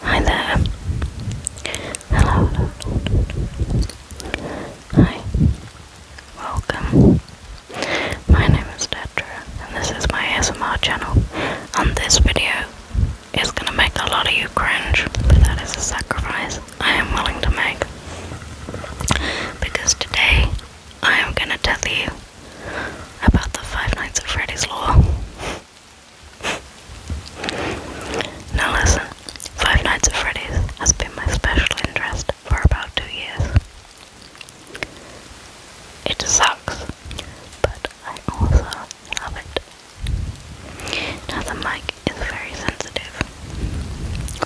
Hi there. Hello. Hi. Welcome. My name is Detra and this is my ASMR channel. And this video is gonna make a lot of you cringe, but that is a sacrifice I am willing to make. Because today I am gonna tell you about the Five Nights at Freddy's lore. Now listen, Five Nights at Freddy's has been my special interest for about two years. It sucks, but I also love it. Now the mic is very sensitive.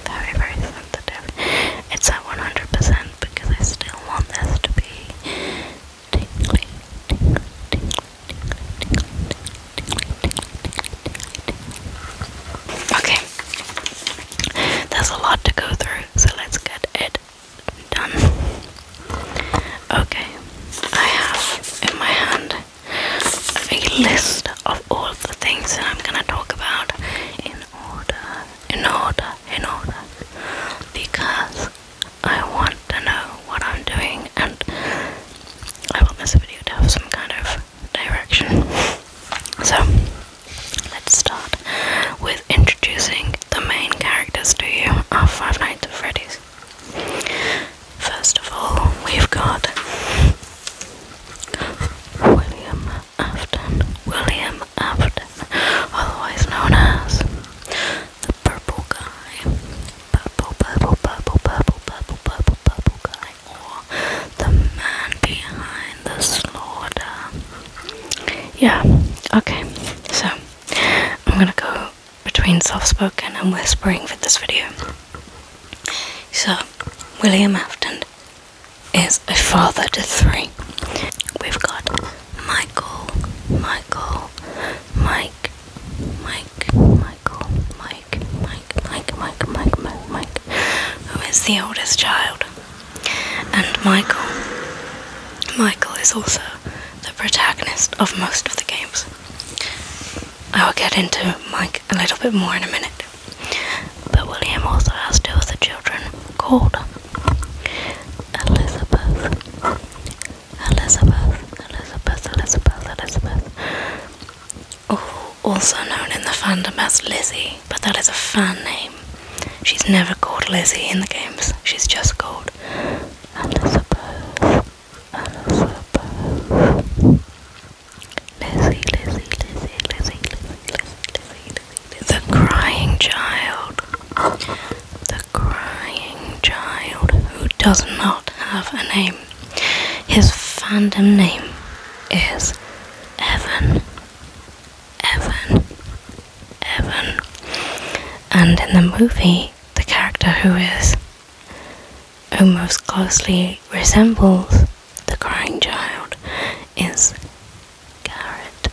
Very, very sensitive. It's at 100% because I still want this to be Okay, there's a lot to go through, so let's get it done. Okay, I have in my hand a list of all the things that I'm gonna talk about in order, in order, in order, because I want to know what I'm doing, and I will miss a video to have some kind of direction. So, let's start with introducing the main characters to you of Five Nights at Freddy's. First of all, we've got William Afton. William Afton, otherwise known as purple guy, purple, purple, purple, purple, purple, purple, purple guy, or the man behind the slaughter. Yeah, okay, so I'm gonna go between soft spoken and whispering for this video. So, William Afton is a father to three. We've got Michael, Michael, Mike, Mike, Michael, Mike, Mike, Mike, Mike, Mike, Mike, Mike, who is the oldest child. And Michael. Michael is also the protagonist of most of the games. I will get into Mike a little bit more in a minute. But William also has two other children called Elizabeth Elizabeth, Elizabeth, Elizabeth, Elizabeth. Oh, also known in the fandom as Lizzie, but that is a fan name. She's never called Lizzie in the games, she's just called Elizabeth. Elizabeth. Lizzie, Lizzie, Lizzie, Lizzie, Lizzie, Lizzie, Lizzie, Lizzie, Lizzie. The crying child the crying child who does not have a name. His fandom name is Evan. Evan. Evan. And in the movie, the character who is almost closely resembles the crying child is Garrett.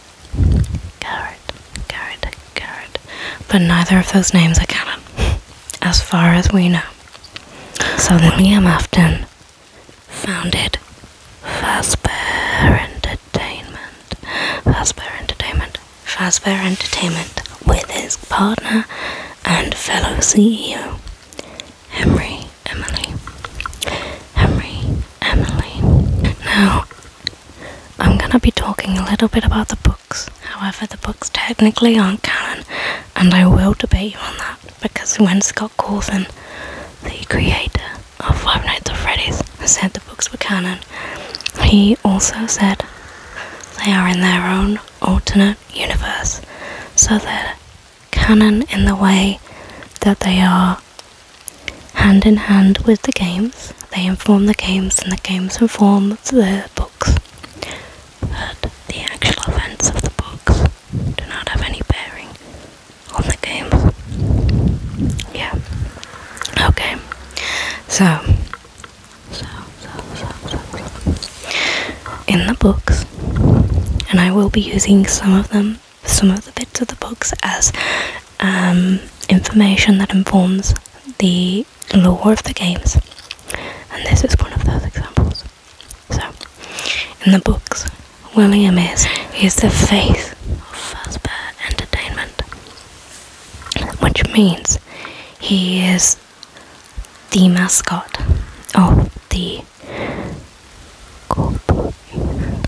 Garrett. Garrett but neither of those names are canon, as far as we know. So William Afton founded Fazbear Entertainment. Fazbear Entertainment. Fazbear Entertainment with his partner and fellow CEO, Henry Emily. Henry Emily. Now, I'm gonna be talking a little bit about the books However, the books technically aren't canon, and I will debate you on that because when Scott Cawthon, the creator of Five Nights at Freddy's, said the books were canon, he also said they are in their own alternate universe, so they're canon in the way that they are hand in hand with the games. They inform the games, and the games inform the books that the actual events of the books do not have any bearing on the games. Yeah. Okay. So, so, so, so, In the books, and I will be using some of them, some of the bits of the books as um, information that informs the the lore of the games. And this is one of those examples. So, in the books, William is, is the face of Fazbear Entertainment, which means he is the mascot of the corporation,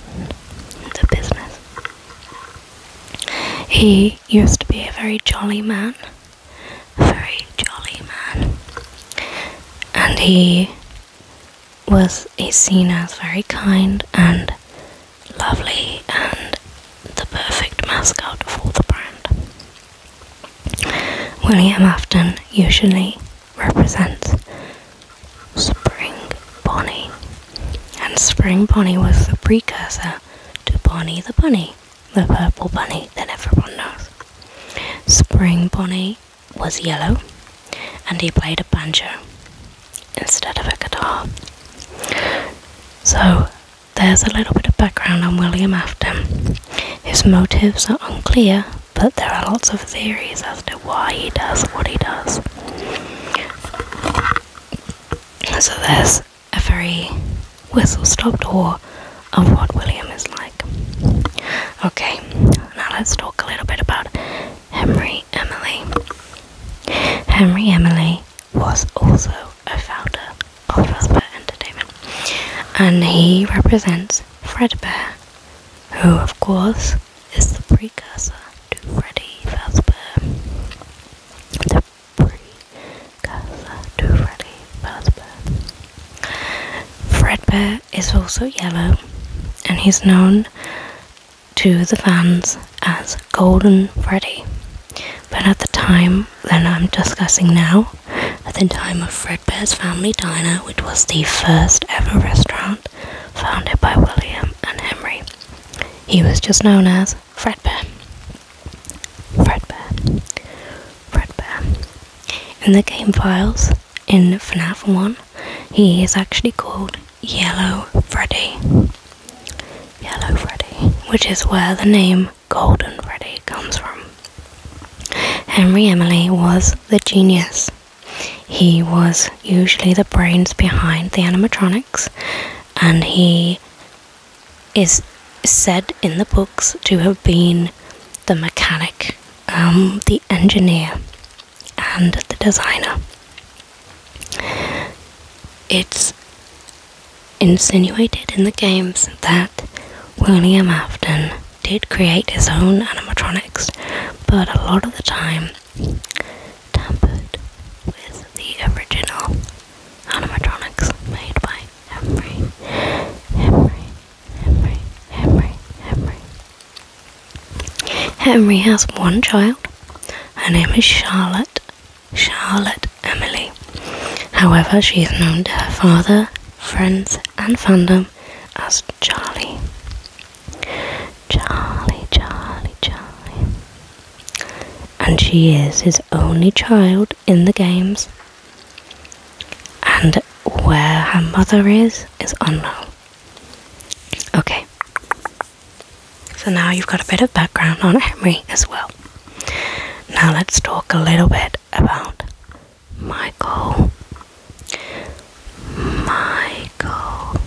the business. He used to be a very jolly man very jolly man, and he was seen as very kind and lovely and the perfect mascot for the brand. William Afton usually represents Spring Bonnie, and Spring Bonnie was the precursor to Bonnie the Bunny the purple bunny that everyone knows. Spring bunny was yellow and he played a banjo instead of a guitar. So there's a little bit of background on William Afton. His motives are unclear, but there are lots of theories as to why he does what he does. So there's a very whistle stopped tour of what William is like. Okay, now let's talk a little bit about Henry Emily. Henry Emily was also a founder of Fredbear Entertainment, and he represents Fredbear, who, of course, is the precursor to Freddy Fazbear, pretty Casa Fredbear is also yellow, and he's known to the fans as Golden Freddy. But at the time that I'm discussing now, at the time of Fredbear's Family Diner, which was the first ever restaurant founded by William and Henry, he was just known as Fredbear. Fredbear. Fredbear. In the game files, in FNAF 1, he is actually called Yellow Freddy. Yellow Freddy, which is where the name Golden Freddy comes from. Henry Emily was the genius. He was usually the brains behind the animatronics and he is said in the books to have been the mechanic, um, the engineer, and the designer. It's insinuated in the games that William Afton did create his own animatronics, but a lot of the time tampered with the original animatronics made by hammering, hammering, hammering, hammering, hammering. Henry has one child. Her name is Charlotte, Charlotte Emily. However, she is known to her father, friends, and fandom as Charlie. Charlie, Charlie, Charlie. And she is his only child in the games. And where her mother is is unknown. Okay. So now you've got a bit of background on Henry as well. Now let's talk a little bit about Michael. Michael.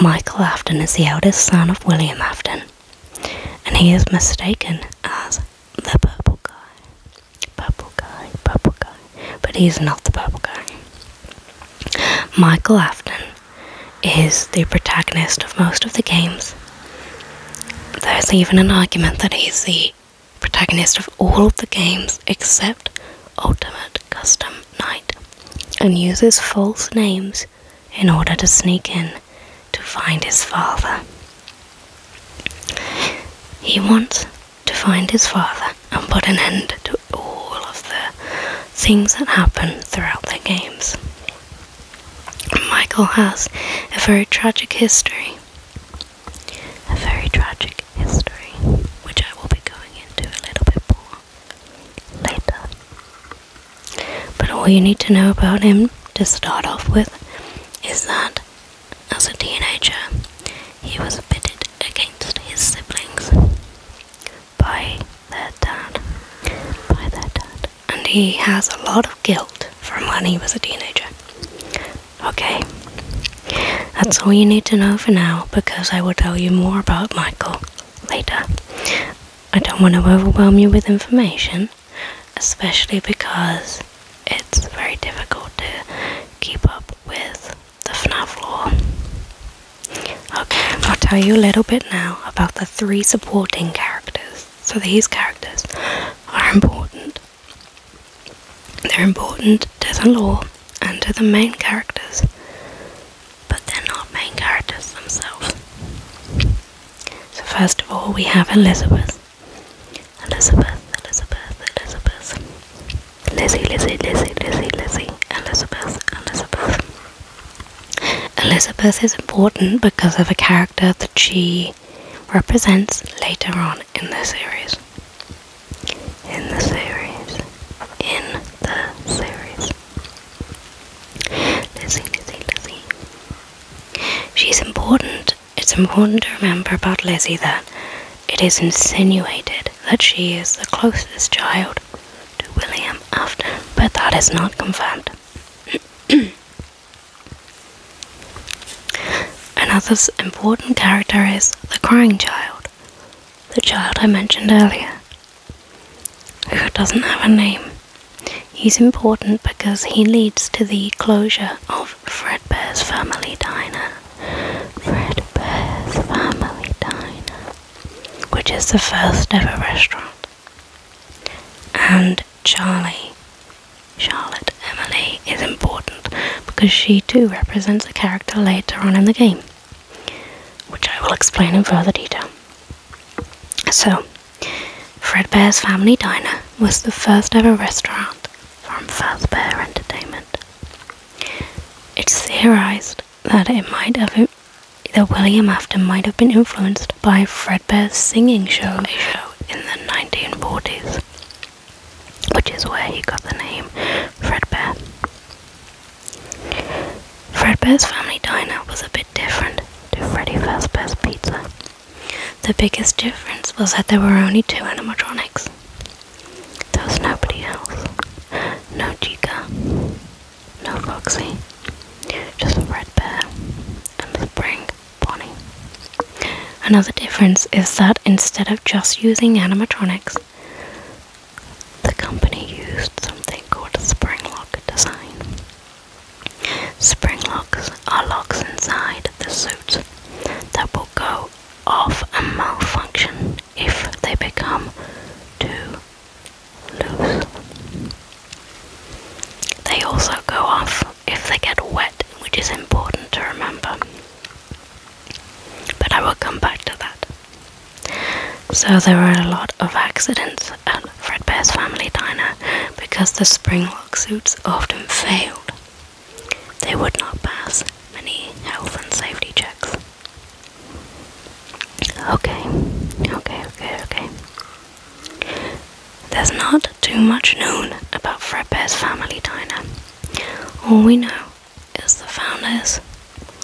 Michael Afton is the eldest son of William Afton, and he is mistaken as the purple guy. Purple guy, purple guy. But he's not the purple guy. Michael Afton is the protagonist of most of the games. There's even an argument that he's the protagonist of all of the games except Ultimate Custom Night and uses false names in order to sneak in to find his father. He wants to find his father and put an end to all of the things that happen throughout the games. Michael has a very tragic history. A very tragic history, which I will be going into a little bit more later. But all you need to know about him to start off with is that as a teenager he was pitted against his siblings by their dad. By their dad. And he has a lot of guilt from when he was a teenager. Okay. That's all you need to know for now because I will tell you more about Michael later. I don't want to overwhelm you with information, especially because it's very difficult to keep up with the FNAF lore. Okay, I'll tell you a little bit now about the three supporting characters. So these characters are important. They're important to the lore and to the main characters, but they're not main characters themselves. So first of all, we have Elizabeth. Elizabeth, Elizabeth, Elizabeth. Lizzie, Lizzie, Lizzie, Lizzie, Lizzie. Elizabeth, Elizabeth. Elizabeth is important because of a character that she represents later on in the series. In the series. In the series. Lizzie, Lizzie, Lizzie. She's important it's important to remember about Lizzie that it is insinuated that she is the closest child to William Afton, but that is not confirmed. Another important character is the crying child, the child I mentioned earlier, who doesn't have a name He's important because he leads to the closure of Fredbear's Family Diner. Fredbear's Family Diner, which is the first ever restaurant. And Charlie, Charlotte Emily, is important because she too represents a character later on in the game, which I will explain in further detail. So, Fredbear's Family Diner was the first ever restaurant from Fazbear Entertainment. It's theorized that it might have that William Afton might have been influenced by Fredbear's singing show, show in the 1940s, which is where he got the name Fredbear. Fredbear's Family Diner was a bit different to Freddy Fazbear's Pizza. The biggest difference was that there were only two animatronics. There was nobody else. No Chica. No Foxy. Just a red bear and the spring pony. Another difference is that instead of just using animatronics, the company used something called a spring lock design. Spring locks are locks inside the suit that will go off and malfunction if they become too loose. They also go off if they get wet, which is important to remember. But I will come back to that. So there were a lot of accidents at Fredbear's Family Diner because the spring suits often failed. They would not pass many health and safety checks. Okay, okay, okay, okay. There's not too much known about Fredbear's family diner. All we know is the founders,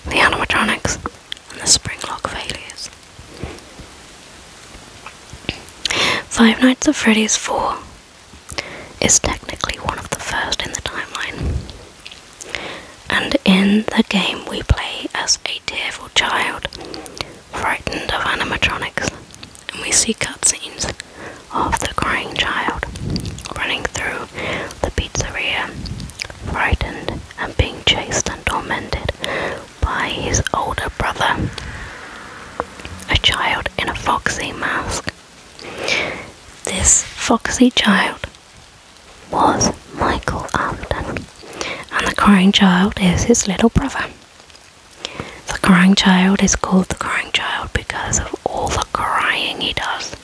the animatronics, and the spring lock failures. Five Nights at Freddy's 4 is technically one of the first in the timeline. And in the game, we play as a tearful child, frightened of animatronics, and we see cutscenes of the crying child running through the pizzeria, frightened and being chased and tormented by his older brother a child in a foxy mask. This foxy child was Michael Upton, and the crying child is his little brother. The crying child is called the crying child because of all the crying he does.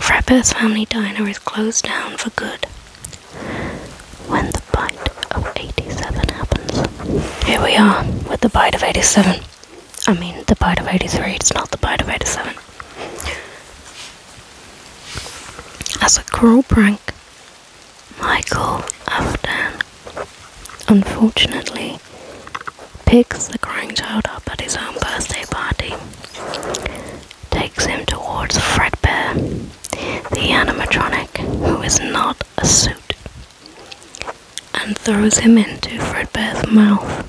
Frapper's family diner is closed down for good when the bite of 87 happens. Here we are with the bite of 87. I mean, the bite of 83, it's not the bite of 87. As a cruel prank, Michael after unfortunately picks the crying child up at his own birthday party, takes him towards Fredbear, the animatronic who is not a suit and throws him into Fredbear's mouth.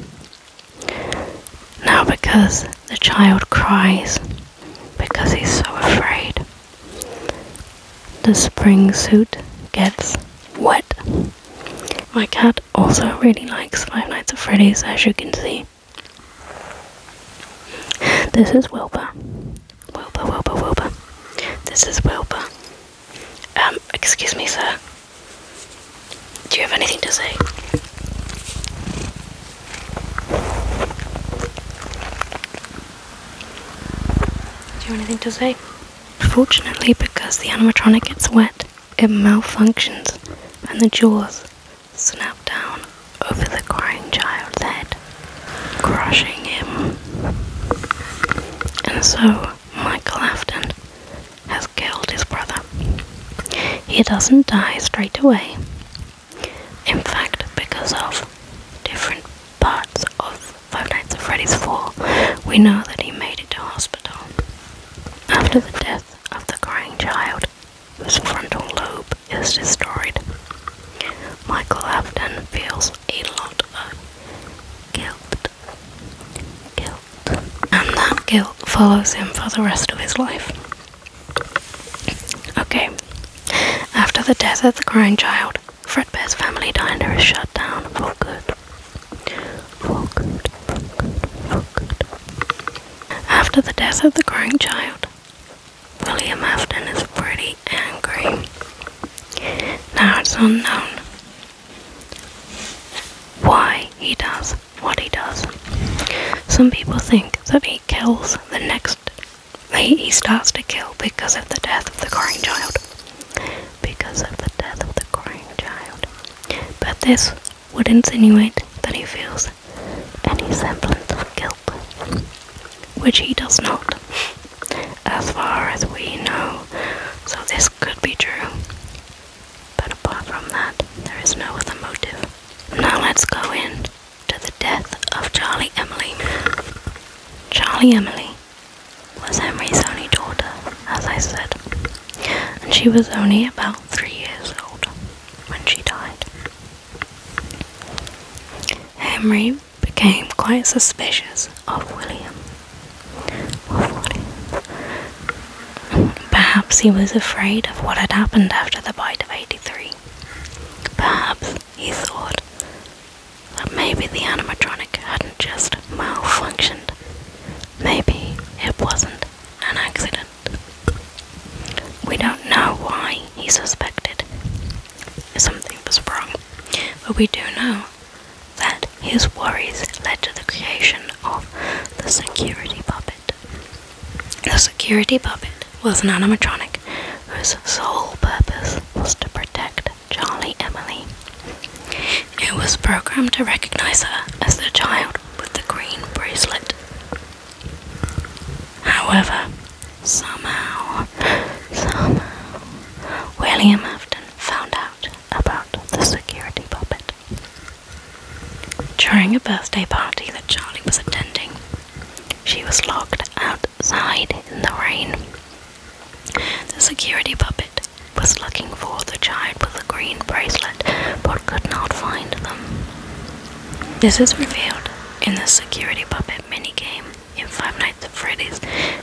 Now, because the child cries because he's so afraid, the spring suit gets wet. My cat also really likes Five Nights at Freddy's, as you can see. This is Wilbur. Wilbur, Wilbur, Wilbur. This is Wilbur. Um, excuse me, sir. Do you have anything to say? Do you have anything to say? Fortunately, because the animatronic gets wet, it malfunctions and the jaws snap down over the crying child's head crushing him. And so Michael Afton has killed his brother. He doesn't die straight away. In fact, because of different parts of Five Nights at Freddy's 4, we know that he made it to hospital. After the death of the crying child, whose frontal lobe is destroyed, Michael Afton feels a lot of guilt. Guilt. And that guilt follows him for the rest of his life. Okay. After the death of the crying child, Fredbear's family diner is shut down For good, for good, for good. After the death of the crying child, William Afton is pretty angry. Now it's unknown why he does what he does. Some people think that he kills the next he starts to kill because of the death of the crying child. Because of the death of the crying child. But this would insinuate that he feels any semblance of guilt, which he does not as far as we know, so this could be true. But apart from that, there is no other motive. Now let's go in to the death of Charlie Emily. Charlie Emily was Henry's only daughter, as I said, and she was only about three years old when she died. Henry became quite suspicious of William. Perhaps he was afraid of what had happened after the bite of 83. Perhaps he thought that maybe the animatronic hadn't just malfunctioned. Maybe it wasn't an accident. We don't know why he suspected something was wrong. But we do know that his worries led to the creation of the security puppet. The security puppet was an animatronic whose sole purpose was to protect Charlie Emily. It was programmed to recognize her as the child with the green bracelet. However, Somehow, somehow, William Afton found out about the security puppet. During a birthday party that Charlie was attending, she was locked outside in the rain. The security puppet was looking for the child with the green bracelet but could not find them. This is revealed in the security puppet minigame in Five Nights at Freddy's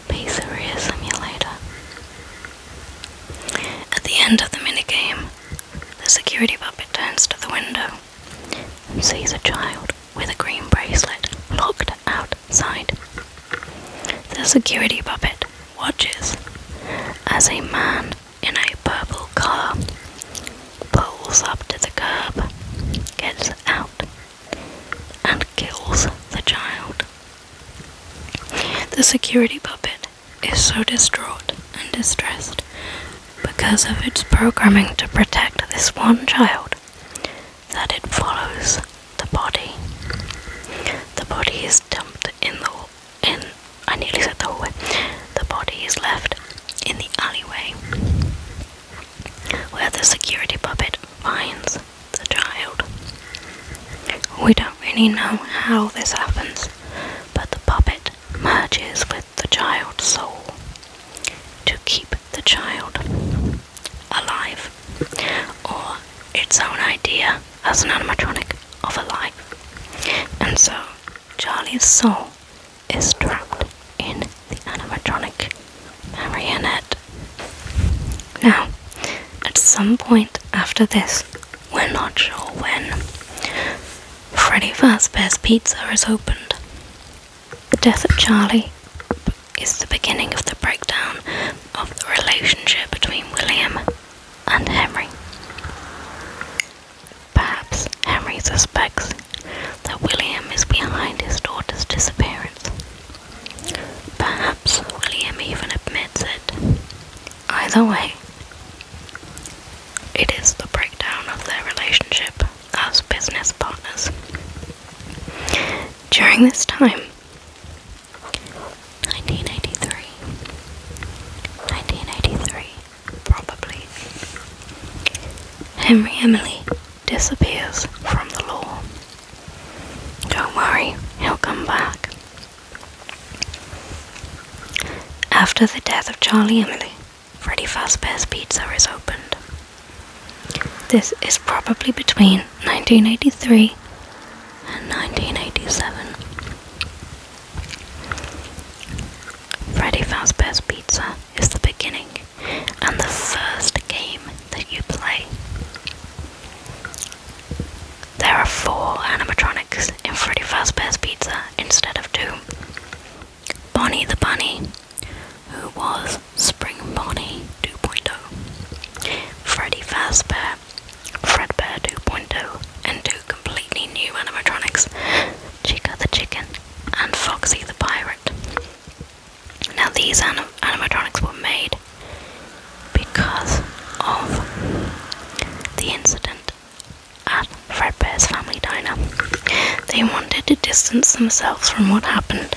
Pizzeria Simulator. At the end of the minigame, the security puppet turns to the window and sees a child with a green bracelet locked outside. The security puppet watches as a man in a purple car pulls up to the curb, gets out, and kills the child. The security puppet is so distraught and distressed because of its programming to protect this one child that it follows the body. The body is dumped in the in I nearly said the hallway. The body is left in the alleyway where the security puppet finds the child. We don't really know how this happens, but the puppet merges with the child's soul to keep the child alive, or its own idea as an animatronic of a life. And so Charlie's soul is trapped in the animatronic Marionette. Now, at some point after this, we're not sure when, Freddy Fazbear's Pizza is opened. The death of Charlie is the beginning of the breakdown of the relationship between William and Henry. Perhaps Henry suspects that William is behind his daughter's disappearance Perhaps William even admits it. Either way, it is the breakdown of their relationship as business partners. During this time, 1983, 1983, probably, Henry Emily disappears from the law. Don't worry, he'll come back. After the death of Charlie Emily, Freddy Fazbear's Pizza is opened. This is probably between 1983 and 1987. Freddy Fazbear's Pizza is the beginning and the first game that you play. There are four animatronics in Freddy Fazbear's Pizza instead of two. Bonnie the Bunny, who was Spring Bonnie 2.0, Freddy Fazbear, Fredbear 2.0, and two completely new animatronics, Chica the Chicken and Foxy the Pirate. Now these animatronics were made because of the incident at Fredbear's Family Diner. They wanted to distance themselves from what happened.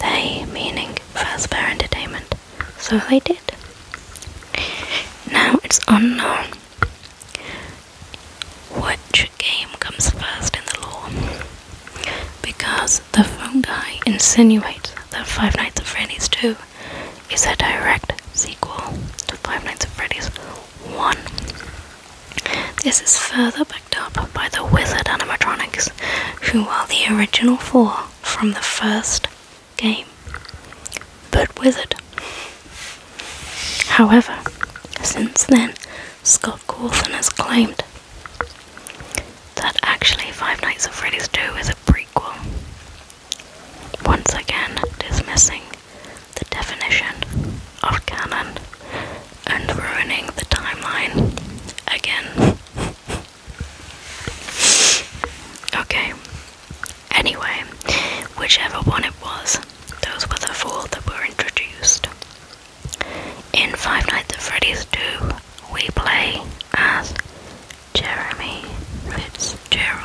They, meaning Fredbear Entertainment. So they did. Now it's unknown which game comes first in the law because the fungi insinuates that Five Nights at Freddy's 2 is a direct sequel to Five Nights at Freddy's 1. This is further backed up by the Wizard animatronics, who are the original four from the first game, but Wizard. However, since then, Scott Cawthon has claimed that actually Five Nights at Freddy's 2 is a prequel. Once again, dismissing the definition of canon and ruining the timeline again. okay. Anyway, whichever one it was, those were the four that were introduced. In Five Nights at Freddy's 2, we play as Jeremy Fitzgerald.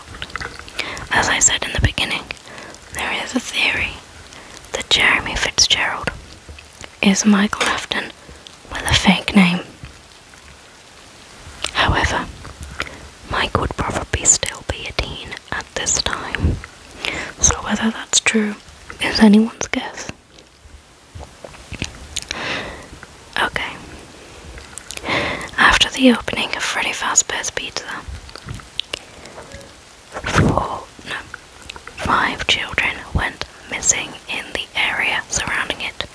As I said in the beginning, there is a theory that Jeremy Fitzgerald is Michael Afton with a fake name. However, Mike would probably still be a dean at this time, so whether that's true is anyone's guess. Okay. After the opening of Freddy Fazbear's Pizza, four, no, five children went missing in the area surrounding it.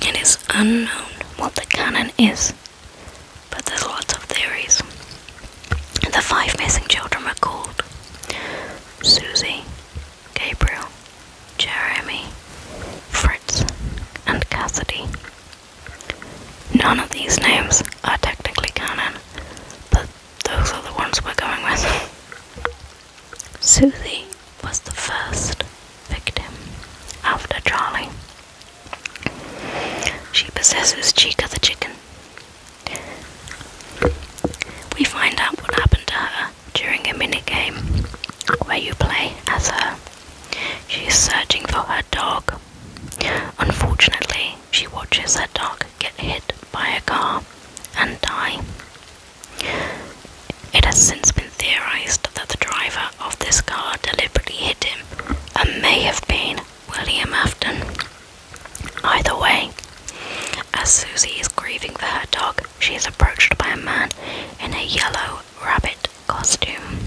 It is unknown what the cannon is, but there's lots of theories. The five missing children were called Susie, Gabriel, Jeremy, Fritz, and Cassidy. None of these names are technically canon, but those are the ones we're going with. Susie was the first victim after Charlie. She possesses Chica the chicken. We find out what happened to her during a minigame where you play as her. She is searching for her dog. Unfortunately, she watches her dog get hit by a car and die. It has since been theorized that the driver of this car deliberately hit him and may have been William Afton. Either way, as Susie is grieving for her dog she is approached by a man in a yellow rabbit costume.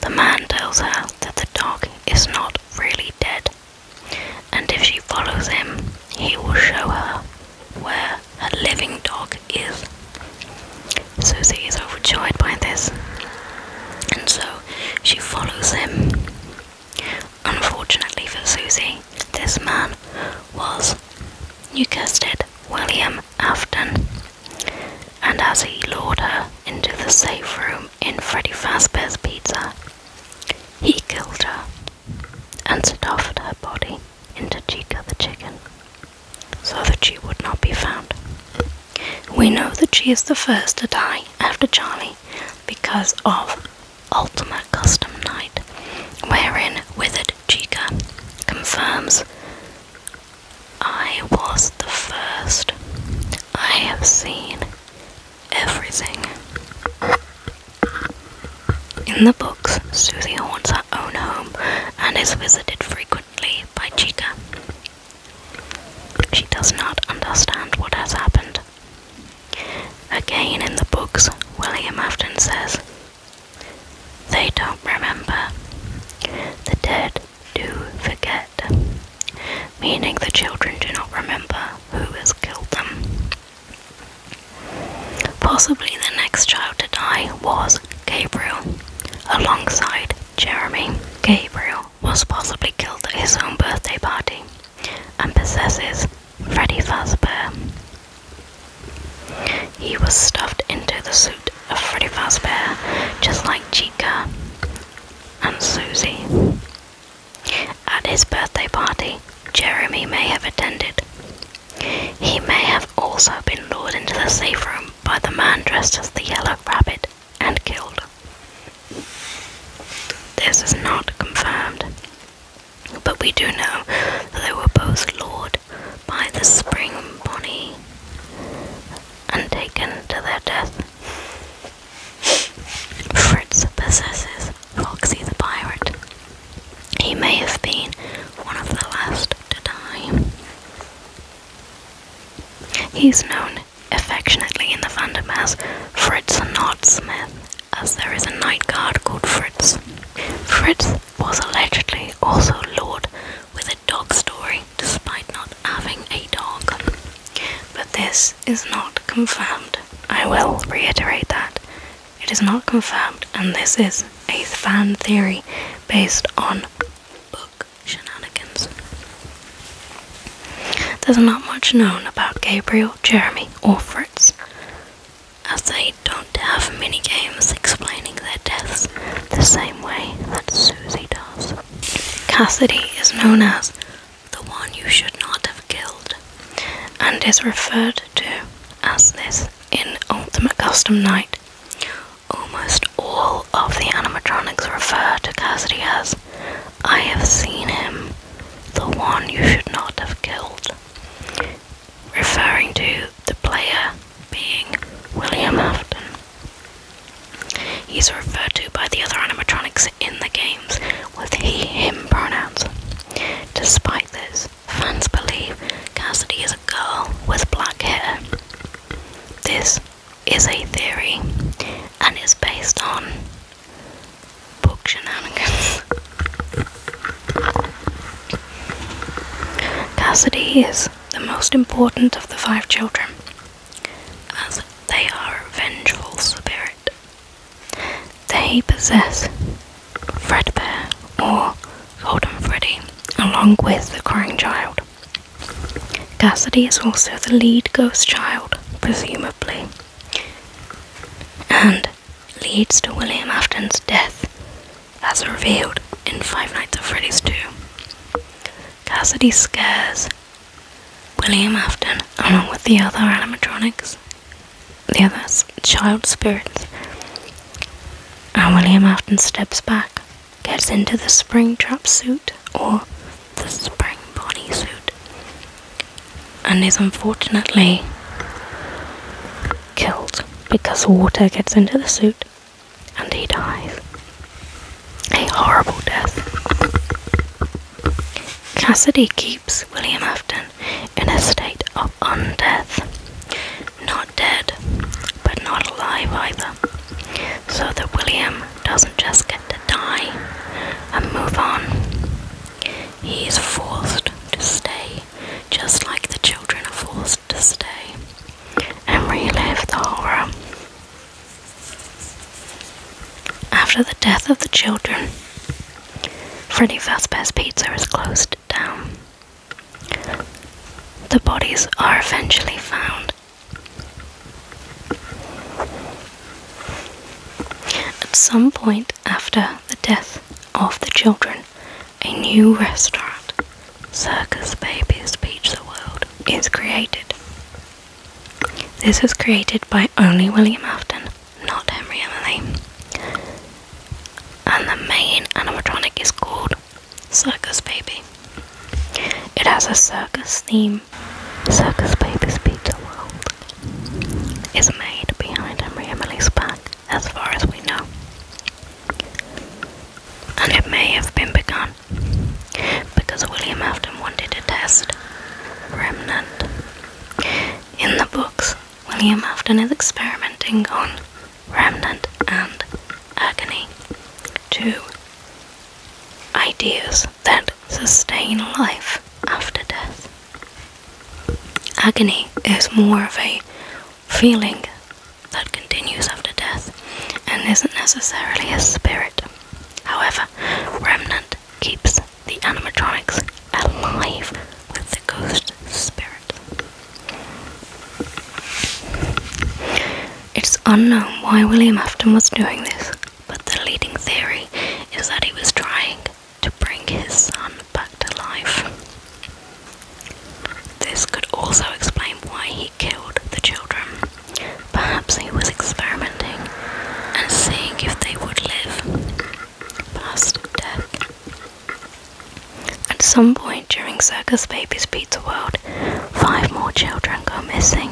The man tells her that the dog is not really dead, and if she follows him, he will show her where her living dog is. Susie is overjoyed by this, and so she follows him Unfortunately for Susie, this man was Newcasted William Afton, and as he lured her into the safe room in Freddy Fazbear's Pizza, he killed her and stuffed her body into Chica the chicken so that she would not be found. We know that she is the first to die after Charlie because of Ultimate Custom Night, wherein Withered Chica confirms I was the first. I have seen everything. In the books, Suzy haunts her own home and is visited frequently by Chica. She does not understand what has happened Again in the books, William often says, They don't remember. The dead do forget, meaning the children do not remember who has killed them. Possibly the next child to die was Gabriel, alongside Jeremy. Gabriel was possibly killed at his own birthday party and possesses Freddy Fazbear. He was stuffed into the suit of Freddy Fazbear, just like Chica and Susie. At his birthday party, Jeremy may have attended. He may have also been lured into the safe room by the man dressed as the Yellow Rabbit and killed. This is not confirmed. But we do know that they were both lured by the spring bonnie and taken to their death. Fritz possesses Foxy the pirate. He may have been one of the last to die. He's known affectionately in the fandom as Fritz Not Smith as there is a night guard called Fritz. Fritz was allegedly also Lord with a dog story despite not having a dog. But this is not confirmed. I will reiterate that. It is not confirmed, and this is a fan theory based on book shenanigans. There's not much known about Gabriel, Jeremy, or Fritz as they don't have mini-games explaining their deaths the same way that Susie does. Cassidy is known as the one you should not have killed and is referred to as this in Ultimate Custom Night. Almost all of the animatronics refer to Cassidy as I have seen him, the one you should not have killed referring to the player being William Afton. He's referred to by the other animatronics in the games with he, him pronouns. Despite this, fans believe Cassidy is a girl with black hair. This is a theory and is based on book shenanigans. Cassidy is the most important of the five children, as they are a vengeful spirit. They possess Fredbear or Golden Freddy, along with the Crying Child. Cassidy is also the lead ghost child, presumably, and leads to William Afton's death, as revealed in Five Nights at Freddy's 2. Cassidy scares William Afton along with the other animatronics, the other child spirits, and William Afton steps back, gets into the spring trap suit or the spring suit, and is unfortunately killed because water gets into the suit and he dies. A horrible death. Cassidy keeps William Afton in a state of undeath. Not dead, but not alive either. So that William doesn't just get to die and move on. He is forced to stay just like the children are forced to stay and relive the horror. After the death of the children, Freddy Fazbear's Pizza is closed down. The bodies are eventually found. At some point after the death of the children, a new restaurant, Circus Babies Pizza World, is created. This was created by only William Afton, not Henry Emily. And the main animatronic is called Circus Baby. It has a circus theme. Circus Baby's Pizza World is made behind Henry Emily's back as far as we know, and it may have been begun because William Afton wanted to test remnant. In the books, William Afton is experimenting on remnant and agony, to ideas that sustain life after death. Agony is more of a feeling that continues after death and isn't necessarily a spirit. However, Remnant keeps the animatronics alive with the ghost spirit. It's unknown why William Afton was doing this, but the leading theory is that he was trying to bring his son back to life. This could also explain why he killed the children. Perhaps he was experimenting and seeing if they would live past death. At some point during Circus Baby's Pizza World, five more children go missing,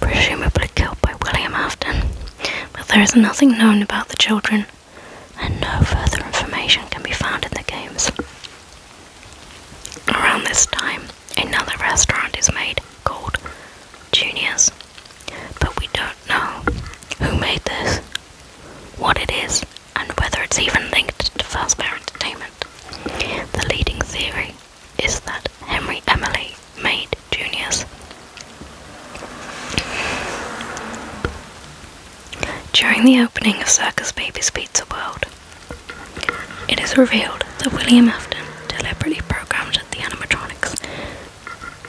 presumably killed by William Afton, but there is nothing known about the children and no further information can be found in the games. Around this time, another restaurant is made called Junior's, but we don't know who made this, what it is, and whether it's even linked to First Bear Entertainment. The leading theory is that Henry Emily made Junior's. During the opening of Circus Baby's Pizza World, it is revealed that William Afton deliberately programmed the animatronics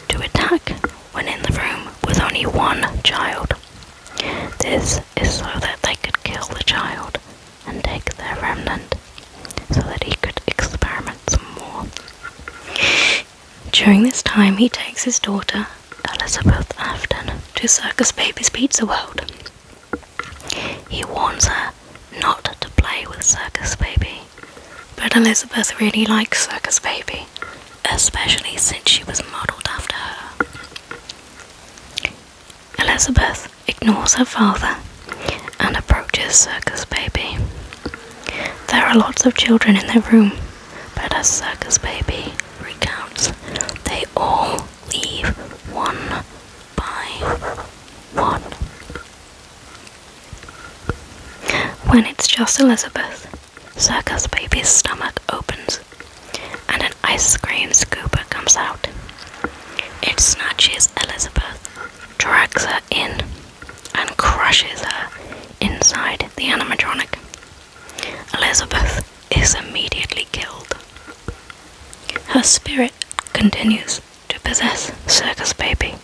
to attack when in the room with only one child. This is so that they could kill the child and take their remnant so that he could experiment some more. During this time, he takes his daughter Elizabeth Afton to Circus Baby's Pizza World. He warns her not to play with Circus Baby, but Elizabeth really likes Circus Baby, especially since she was modelled after her. Elizabeth ignores her father and approaches Circus Baby. There are lots of children in the room, but a Circus Baby recounts, they all leave one by one. When it's just Elizabeth, Circus Baby's stomach opens and an ice cream scooper comes out. It snatches Elizabeth, drags her in, and crushes her inside the animatronic. Elizabeth is immediately killed. Her spirit continues to possess Circus Baby.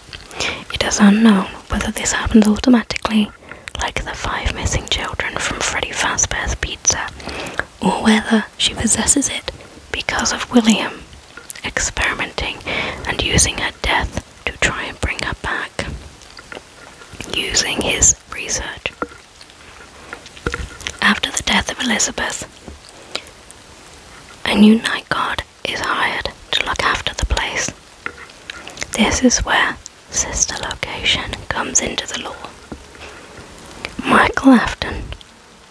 It is unknown whether this happens automatically, like the five missing children from Freddy Fazbear's Pizza, or whether she possesses it because of William experimenting and using her death to try and bring her back using his research. After the death of Elizabeth, a new night guard is hired to look after the place. This is where sister location comes into the law. Michael Afton,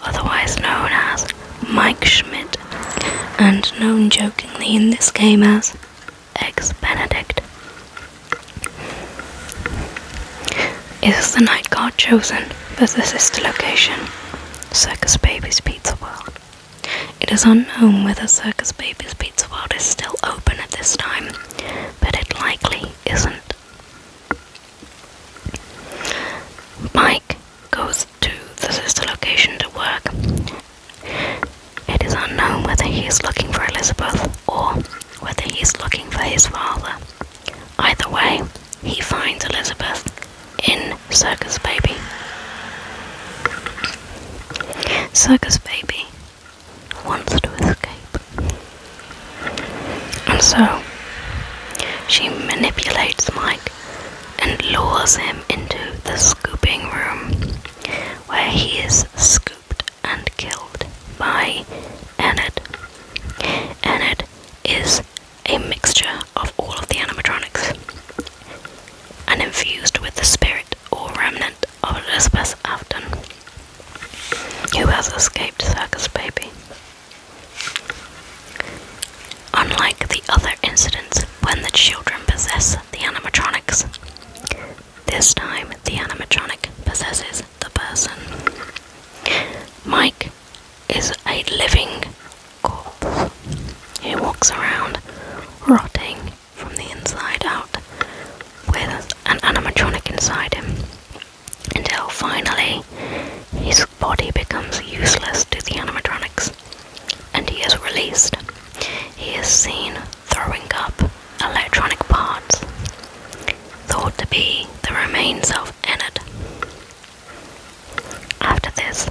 otherwise known as Mike Schmidt, and known jokingly in this game as Ex Benedict. Is the night guard chosen for the sister location? Circus Babies Pizza World. It is unknown whether Circus Babies Pizza World is still open at this time, but it likely isn't. Mike goes to the sister location to work. It is unknown whether he is looking for Elizabeth or whether he's looking for his father. Either way, he finds Elizabeth in Circus Baby. Circus Baby wants to escape. And so, she manipulates Mike and lures him into the scooping room where he is scooped and killed by Enid. Enid is a mixture of all of the animatronics and infused with the spirit or remnant of Elizabeth Afton, who has escaped Circus Baby. Unlike the other incidents when the children possess the animatronics, this time the animatronic possesses the person. Mike is a living corpse. He walks around, rotting from the inside out, with an animatronic inside him, until finally his body becomes useless to the animatronics and he is released. He is seen throwing up electronic parts thought to be the remains of Enid. After this,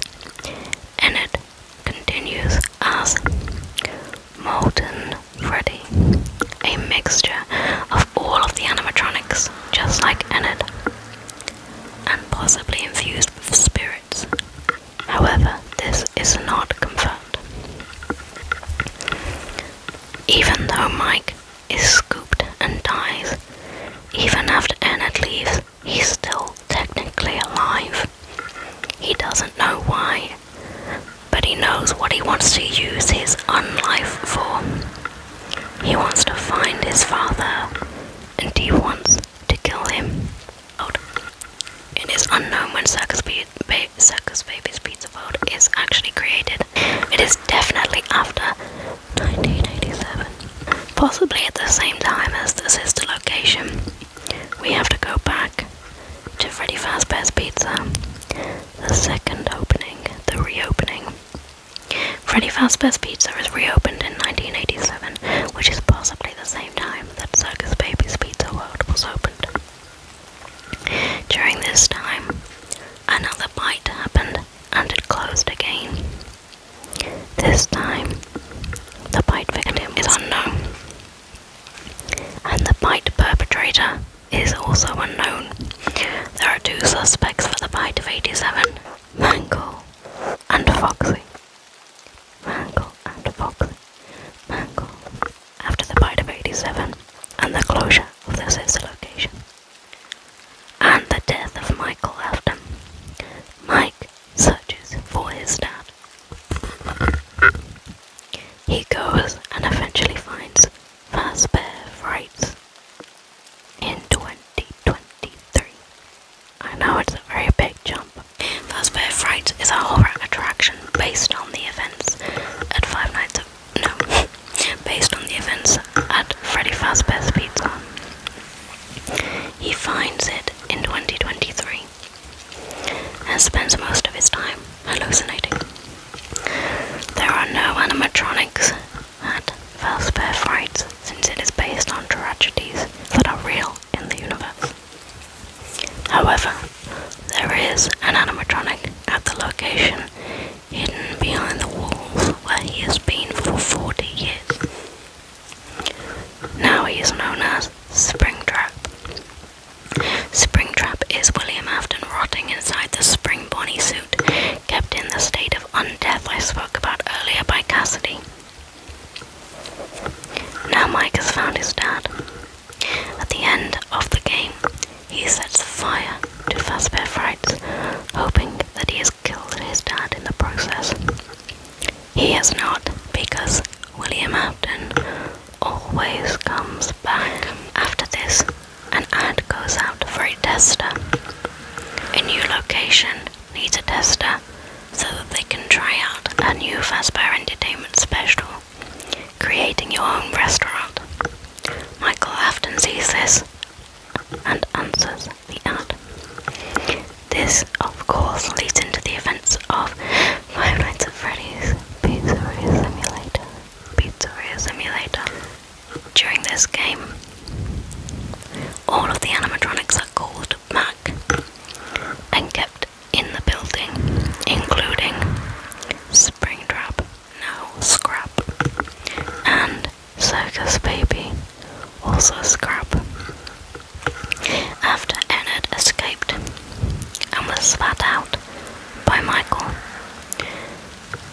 Enid continues as Molten Freddy, a mixture of all of the animatronics, just like Enid, and possibly infused with spirits. However, this is not confirmed. Even though Mike is scooped and dies, even after Annette leaves, he's still technically alive. He doesn't know why, but he knows what he wants to use his unlife for. He wants to find his father, and he wants to kill him. In unknown when Circus Beat Circus Baby's Pizza World is actually created. It is definitely after 1987, possibly at the same time as the sister location. We have to go back to Freddy Fazbear's Pizza, the second opening, the reopening. Freddy Fazbear's Pizza is reopened in 1987, which is possibly the same time that Circus Baby's Pizza World was opened. During this time, another bite happened and it closed again. This time, the bite victim is unknown, and the bite perpetrator is also unknown. There are two suspects for the bite of 87 Mangle and Foxy. Mangle and Foxy. Mangle after the Bite of 87 and the closure of the Sessa location, and the death of Michael After, Mike searches for his dad. He goes and eventually finds Fazbear Frights in 2023. I know it's a very big jump. Fazbear Frights is a horror attraction based on the events at Five Nights at no. Based on the events at Freddy Fazbear's Pizza. He finds it in 2023 and spends most of his time hallucinating. There are no animatronics at Fazbear Frights since it is based on tragedies that are real in the universe. However, there is an animatronic at the location, hidden behind the walls where he has been for 40 years. Now he is known as Springtrap. Springtrap is William Afton rotting inside the spring bonnie suit, kept in the state of undeath I spoke about earlier by Cassidy. Now Mike has found his dad. At the end of the game, he sets fire to Fazbear Frights, hoping that he has killed his dad in the process. He has not, because William Afton always comes back. After this, an ad goes out for a tester. A new location needs a tester so that they can try out a new Fazbear Entertainment special creating your own restaurant. Michael Afton sees this and answers the ad. This, of course, leads into the events of Five Nights at Freddy's Pizzeria Simulator. Pizzeria Simulator. During this game, all of the animatronics are called Mac and kept in the building, including Springtrap, now Scrap, and Circus Baby, also Scrap. After Enid escaped and was spat out by Michael,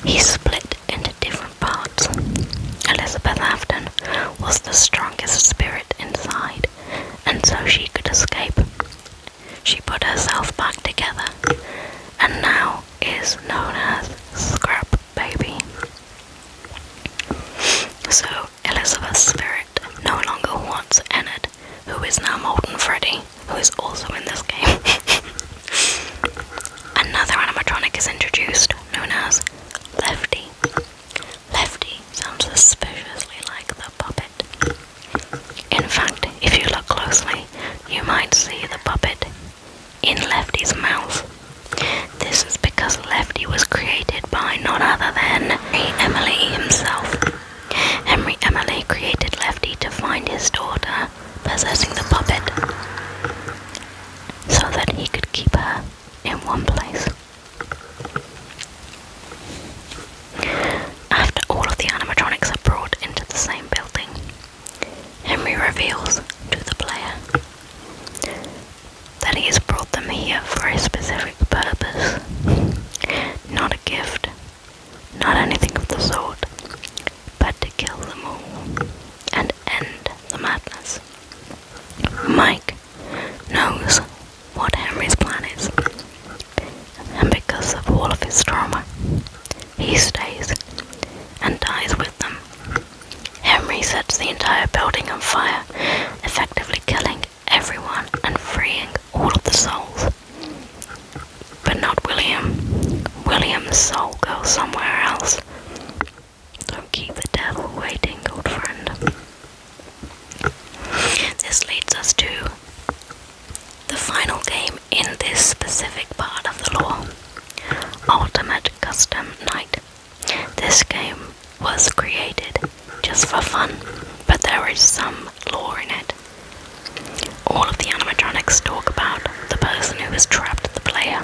he split into different parts. Elizabeth Afton was the strongest spirit inside, and so she could escape she put herself back together and now is known as Scrap Baby. So, Elizabeth's spirit no longer wants Enid, who is now Molten Freddy, who is also in this game. Another animatronic is introduced, known as Lefty. Lefty sounds suspiciously like the puppet. In fact, if you look closely, you might see the puppet in Lefty's mouth. This is because Lefty was created by none other than Henry Emily himself. Henry Emily created Lefty to find his daughter possessing the puppet so that he could keep her in one place. After all of the animatronics are brought into the same building, Henry reveals to the player that he has brought them here for a specific purpose, not a gift, not anything of the sort, but to kill them all and end the madness. Mike knows what Henry's plan is, and because of all of his trauma, he stays and dies with them. Henry sets the entire building on fire, effectively killing everyone and freeing all of the souls. But not William. William's soul goes somewhere else. Don't keep the devil waiting, old friend. This leads us to the final game in this specific part of the lore Ultimate Custom Night. This game was created just for fun, but there is some lore in it. All of the animatronics talk about the person who has trapped the player,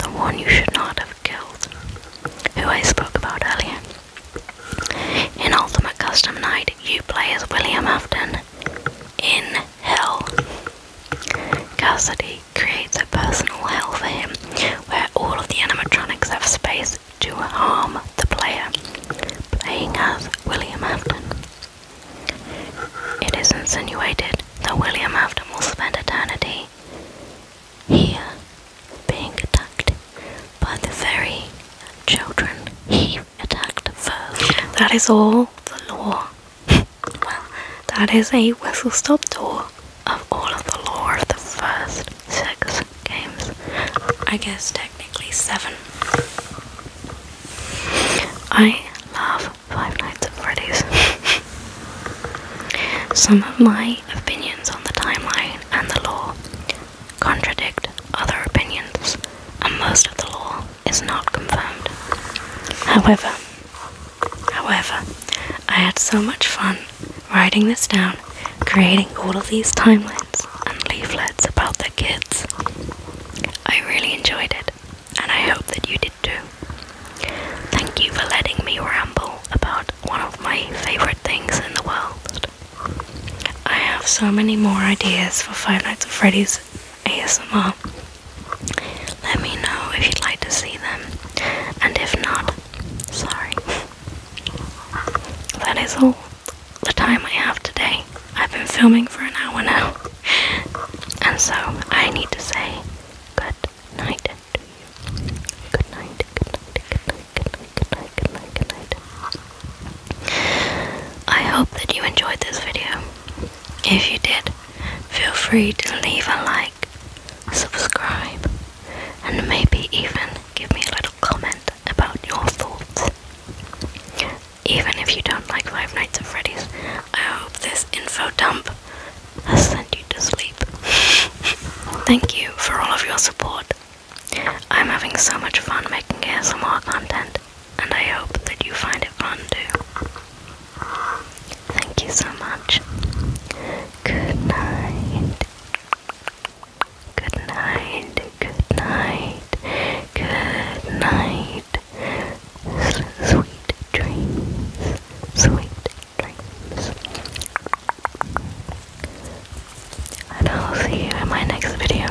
the one you should not have killed, who I spoke about earlier. In Ultimate Custom Night, you play as William Afton in hell. Cassidy creates a personal hell for him where all of the animatronics have space to harm the player, playing as William Afton. It is insinuated that William Afton will spend eternity here being attacked by the very children he attacked first. That is all the law. well, that is a whistle stop tour of all of the law. of the first six games. I guess technically seven. I love Five Nights at Freddy's. Some of my opinions on the timeline and the law contradict other opinions, and most of the law is not confirmed. However, however, I had so much fun writing this down, creating all of these timelines and leaflets about the kids. I really enjoyed it, and I hope that you did too. Thank you for letting me ramble about one of my favorite things in the world. I have so many more ideas for Five Nights at Freddy's ASMR. Let me know if you'd like to see them, and if not, sorry. That is all the time I have today. I've been filming for an hour now, and so I need to say good night to you. Good night, good night, good night, good night, good night, good night, good night. I hope that you enjoyed this video. If you did, Feel free to leave a like, subscribe, and maybe even give me a little comment about your thoughts. Even if you don't like Five Nights at Freddy's, I hope this info dump has sent you to sleep. Thank you for all of your support. I'm having so much fun making more content, and I hope that you find it fun too. Thank you so much. Good night. Good night. Good night. Good night. Sweet dreams. Sweet dreams. And I'll see you in my next video.